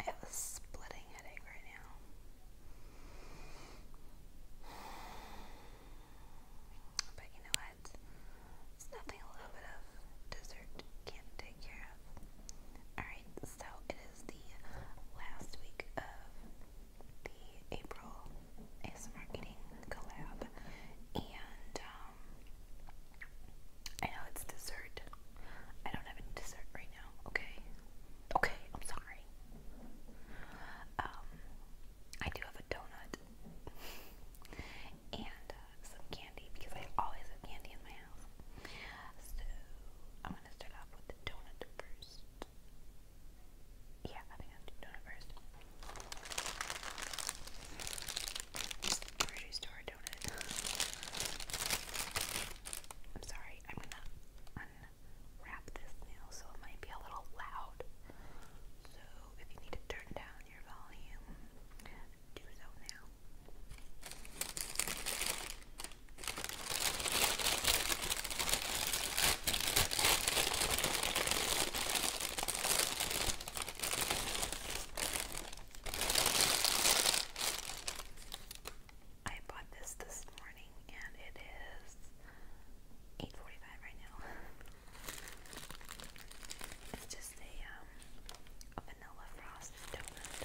I have a splitting headache right now. But you know what? It's nothing a little bit of dessert can't take care of. Alright, so it is the last week of the April ASMR eating collab. And um I know it's dessert. I don't have any dessert right now, okay? Okay, I'm sorry. Um, I do have a donut and uh, some candy because I always have candy in my house. So I'm gonna start off with the donut first. Yeah, I think I'll do donut first grocery store donut. I'm sorry, I'm gonna unwrap this now, so it might be a little loud. So if you need to turn down your volume, do so now. I bought this this morning and it is 8.45 right now. It's just a, um, a vanilla frost donut.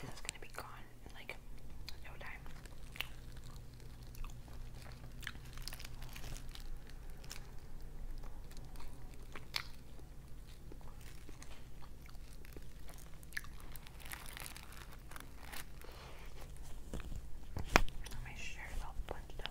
This is gonna be gone in like no time. My shirt is all bunched up.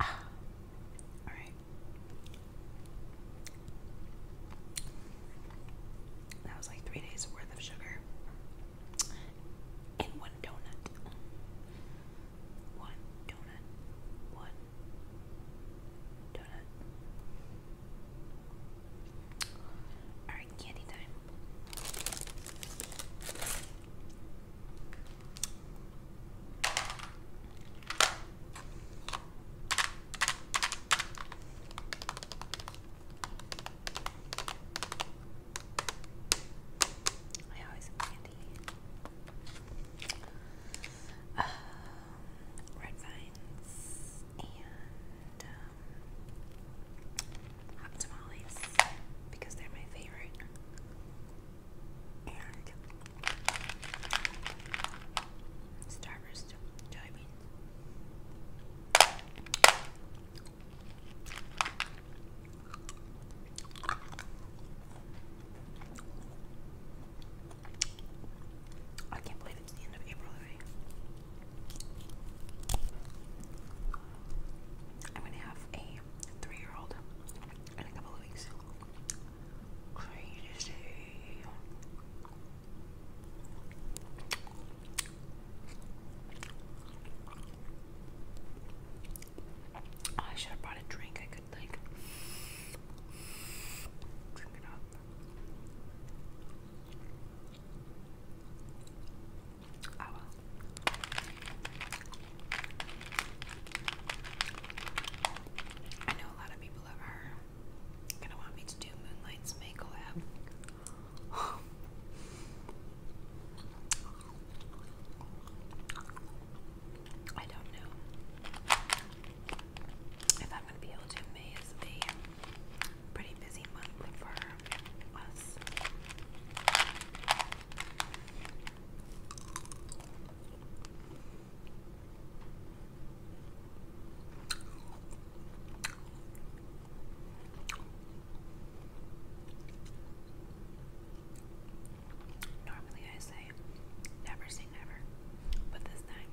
Ah. All right. That was like three days worth of sugar in one donut. One donut. One donut. Alright candy time. I always have candy. Um, red vines and um, hot tamales because they're my favorite. And Starburst jelly beans. I can't believe it's the end of April I'm gonna have a three-year-old in a couple of weeks. Crazy. I should have brought a drink. I could like drink it up. Ah, I know a lot of people are gonna want me to do Moonlight's May I don't know if I'm gonna be able to amaze the pretty busy month for us. Normally I say never say never, but this time,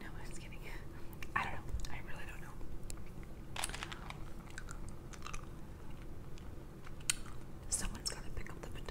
no, I'm just kidding. I don't know. I really don't know. Someone's got to pick up the baton.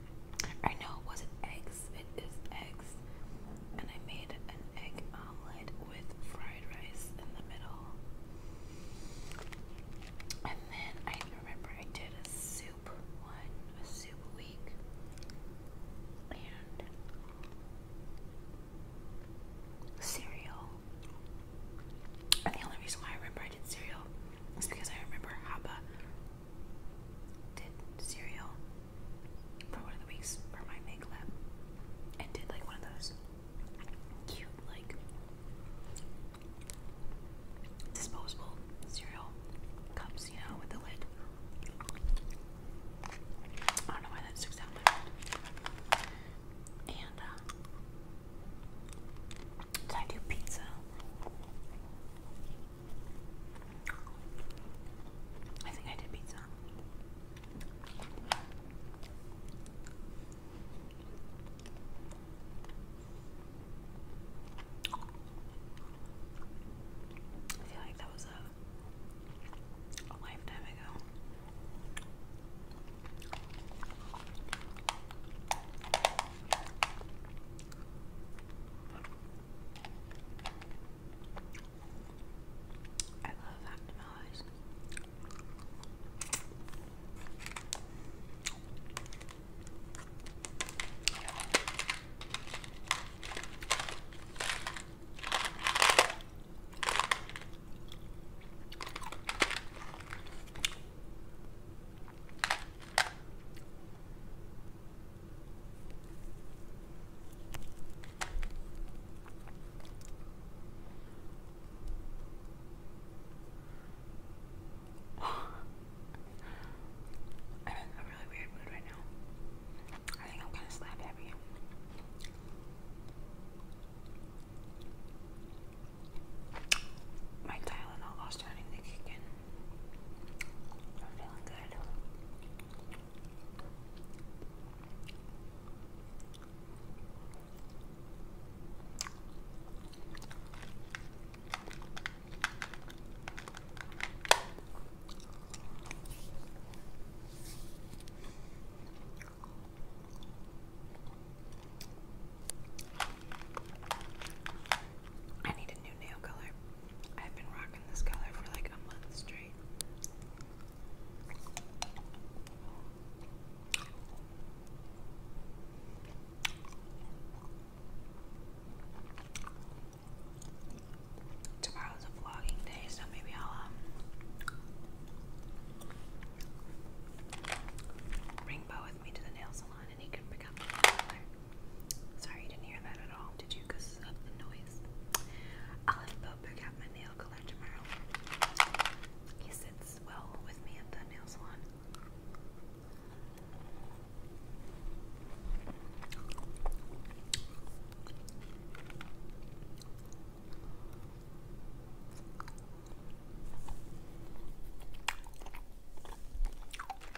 I know it wasn't eggs, it is eggs. And I made an egg omelet with fried rice in the middle. And then I remember I did a soup one, a soup week. And cereal. And the only reason why I remember I did cereal is because I remember Haba did cereal for one of the weeks for my make lab and did like one of those cute like disposable cereal cups, you know, with the lid. I don't know why that sticks out my mind. And uh, I do pizza? I think I did pizza. I feel like that was a, lifetime ago. I love Actimalize. I'm in a really weird mood right now. I think I'm kind of slap happy. My Tylenol all starting to kick in. I'm feeling good. I need a new nail color. I've been rocking this color for like a month straight. Tomorrow's a vlogging day, so maybe I'll um, bring Bo with me to the nail salon and he can pick up the color. Sorry you didn't hear that at all, did you? of the noise. I'll have Bo pick out my nail color tomorrow. He sits well with me at the nail salon.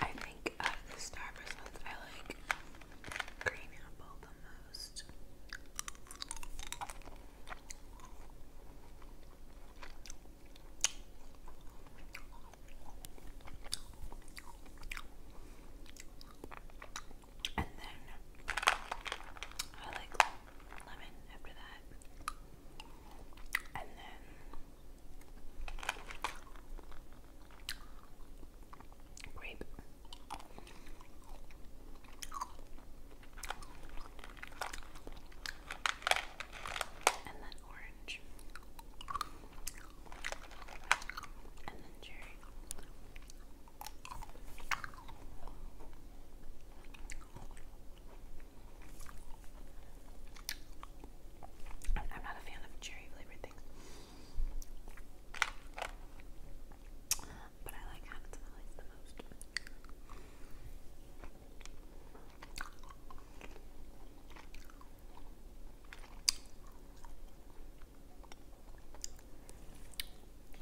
I think of uh, the I like green apple the most. And then I like lemon after that. And then grape. And then orange, and then cherry. I'm not a fan of cherry flavored things, but I like how it smells the most.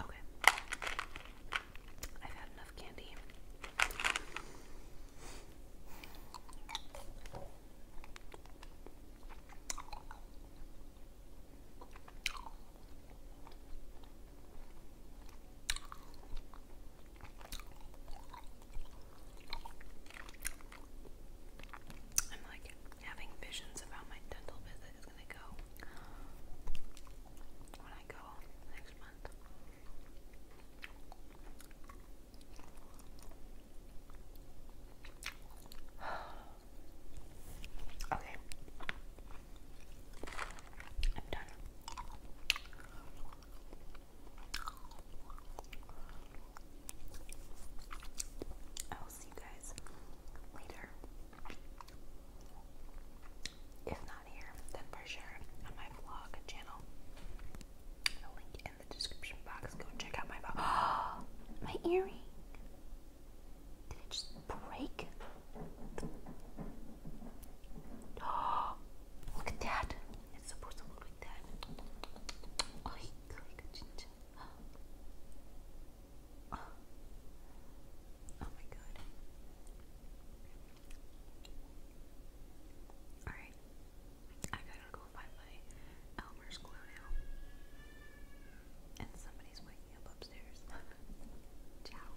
Okay. I've had enough candy. I'm like having visions of my dental visit is gonna go when I go next month. okay. I'm done. I will see you guys later. If not here, then for sure on my vlog channel. The link in the description box. Go check out my vlog. my earring. Did it just break? Oh, look at that. It's supposed to look that. Oh, oh my god. Alright. I gotta go find my Elmer's glue now. And somebody's waking up upstairs. Ciao.